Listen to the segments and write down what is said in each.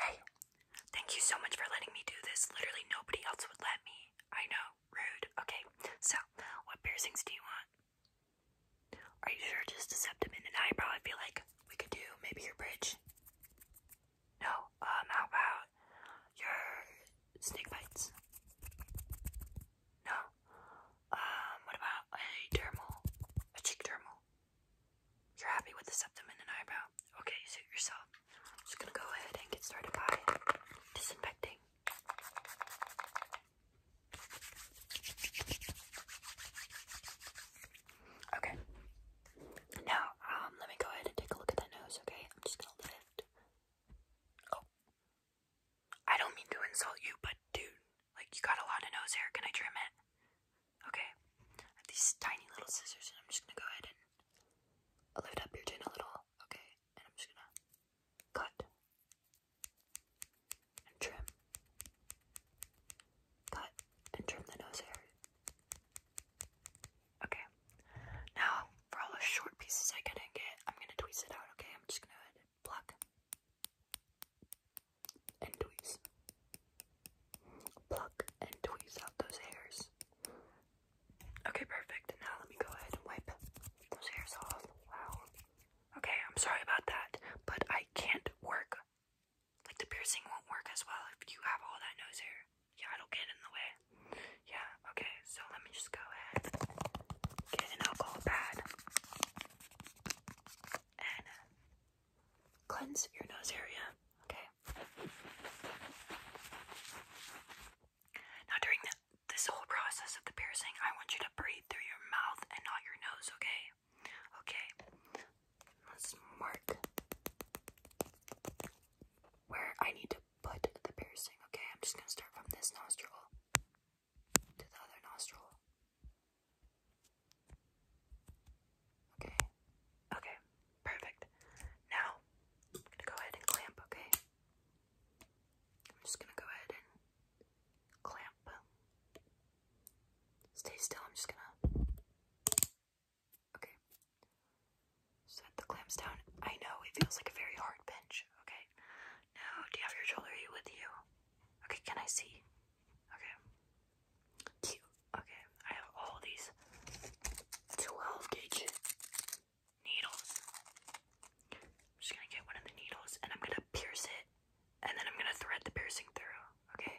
Hey, thank you so much for letting me do this. Literally nobody else would let me. I know, rude. Okay, so what piercings do you want? Are you sure just a septum and an eyebrow? I feel like we could do maybe your bridge. No, um, how about your snake bites? No. Um, what about a dermal? A cheek dermal? You're happy with the septum and the eyebrow? Okay, you suit yourself. just gonna go ahead and get started by disinfecting. Okay. Now, um, let me go ahead and take a look at that nose, okay? I'm just gonna lift. Oh. I don't mean to insult you, but dude, like, you got a lot of nose hair. Can I trim it? Okay, I these tiny little scissors, and I'm just gonna go ahead and lift up your chin a little, okay? And I'm just gonna cut and trim, cut and trim the nose hair. Okay, now for all the short pieces I couldn't get, I'm gonna tweeze it out, okay? I'm just gonna Pluck. And tweeze. Pluck and tweeze out those hairs. Okay, perfect. Now let me go ahead and wipe those hairs off. Wow. Okay, I'm sorry about that, but I can't work. Like, the piercing won't work as well if you have all that nose hair. Yeah, it'll get in the way. Yeah, okay, so let me just go ahead get an alcohol pad and uh, cleanse your nose area, okay? Now, during this whole process of the piercing, I want you to breathe through your mouth and not your nose, okay? Okay, let's mark where I need to put the piercing, okay? I'm just gonna start from this nostril to the other nostril. Okay. Okay. Perfect. Now, I'm gonna go ahead and clamp, okay? I'm just gonna go ahead and clamp. Stay still, I'm just gonna. Okay. Set the clamps down. I know it feels like a very hard pinch, okay? No, do you have your jewelry with you? Okay, can I see? Okay. Cute. Okay, I have all these 12 gauge needles. I'm just gonna get one of the needles and I'm gonna pierce it and then I'm gonna thread the piercing through. Okay?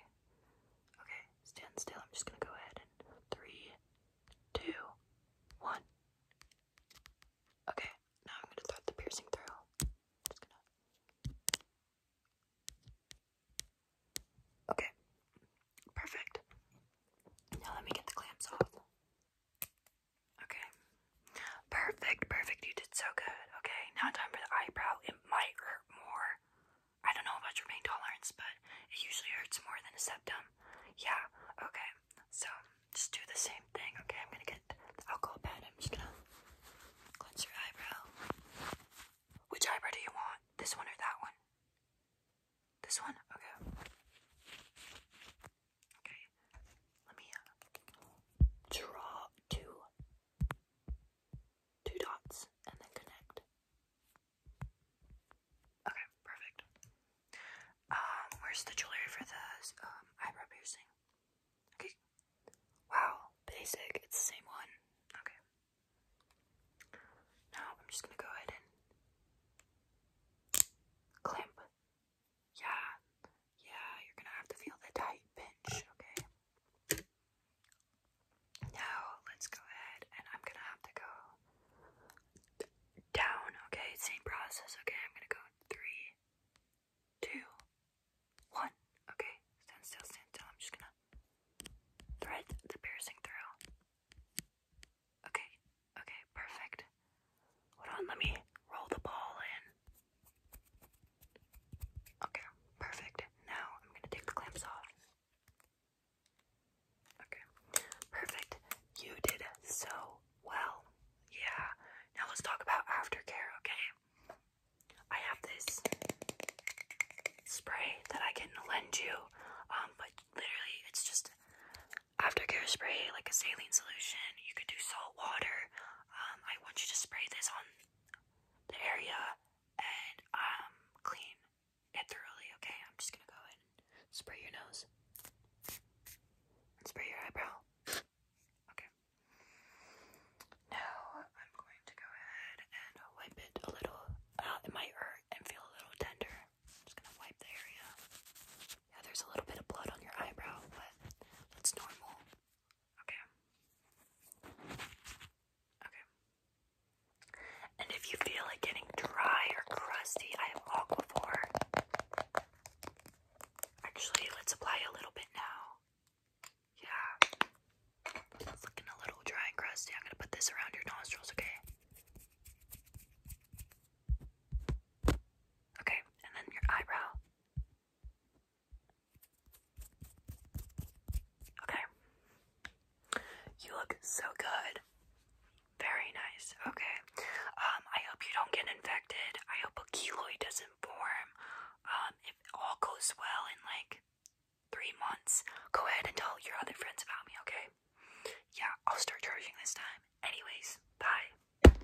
Okay, stand still. I'm just gonna go ahead and three, two, one. Okay, now I'm gonna throw the piercing through. Just gonna. Okay, perfect. Now let me get the clamps off. Okay, perfect, perfect. You did so good. Okay, now time for the eyebrow. It might hurt more. I don't know about your pain tolerance, but it usually hurts more than a septum. Yeah, okay. So just do the same thing, okay? I'm gonna get the alcohol pad. I'm just gonna cleanse your eyebrow. Which eyebrow do you want? This one or that one? This one? Okay. Okay. Let me uh, draw two two dots and then connect. Okay, perfect. Um, where's the jewelry for the um, eyebrow piercing? Okay. Wow, basic. It's the same one. Okay. Now I'm just gonna go ahead and clamp. Yeah, yeah. You're gonna have to feel the tight pinch. Okay. Now let's go ahead and I'm gonna have to go down, okay? Same process, okay? I'm gonna go three, two, one, okay? Stand still, stand still. I'm just gonna thread the piercing through. Okay, okay, perfect. Hold on, let me roll the ball in. Okay, perfect. Now I'm gonna take the clamps off. Okay, perfect. You did so well. Yeah. Now let's talk about aftercare, okay? I have this spray that I can lend you, um, but literally it's just aftercare spray, like a saline solution. You could do salt water. Um, I want you to spray this on the area and um clean it thoroughly, okay? I'm just gonna go and spray your nose. And spray your eyebrow. Okay. Now I'm going to go ahead and wipe it a little. Uh, it might hurt and feel a little tender. I'm just gonna wipe the area. Yeah, there's a little bit of blood on your eyebrow, but that's normal. Okay. Okay. And if you feel it getting dry or crusty, I have Aquaphor. Actually, let's apply a little bit now. Yeah. It's looking a little dry and crusty. I'm gonna put this around your nostrils, okay? Okay, and then your eyebrow. Okay. You look so good. Very nice. Okay. Um, I hope you don't get infected. I hope a keloid doesn't form. Um, if all goes well in like three months, go ahead and tell your other friends about me, okay? Yeah, I'll start charging this time. Anyways, bye.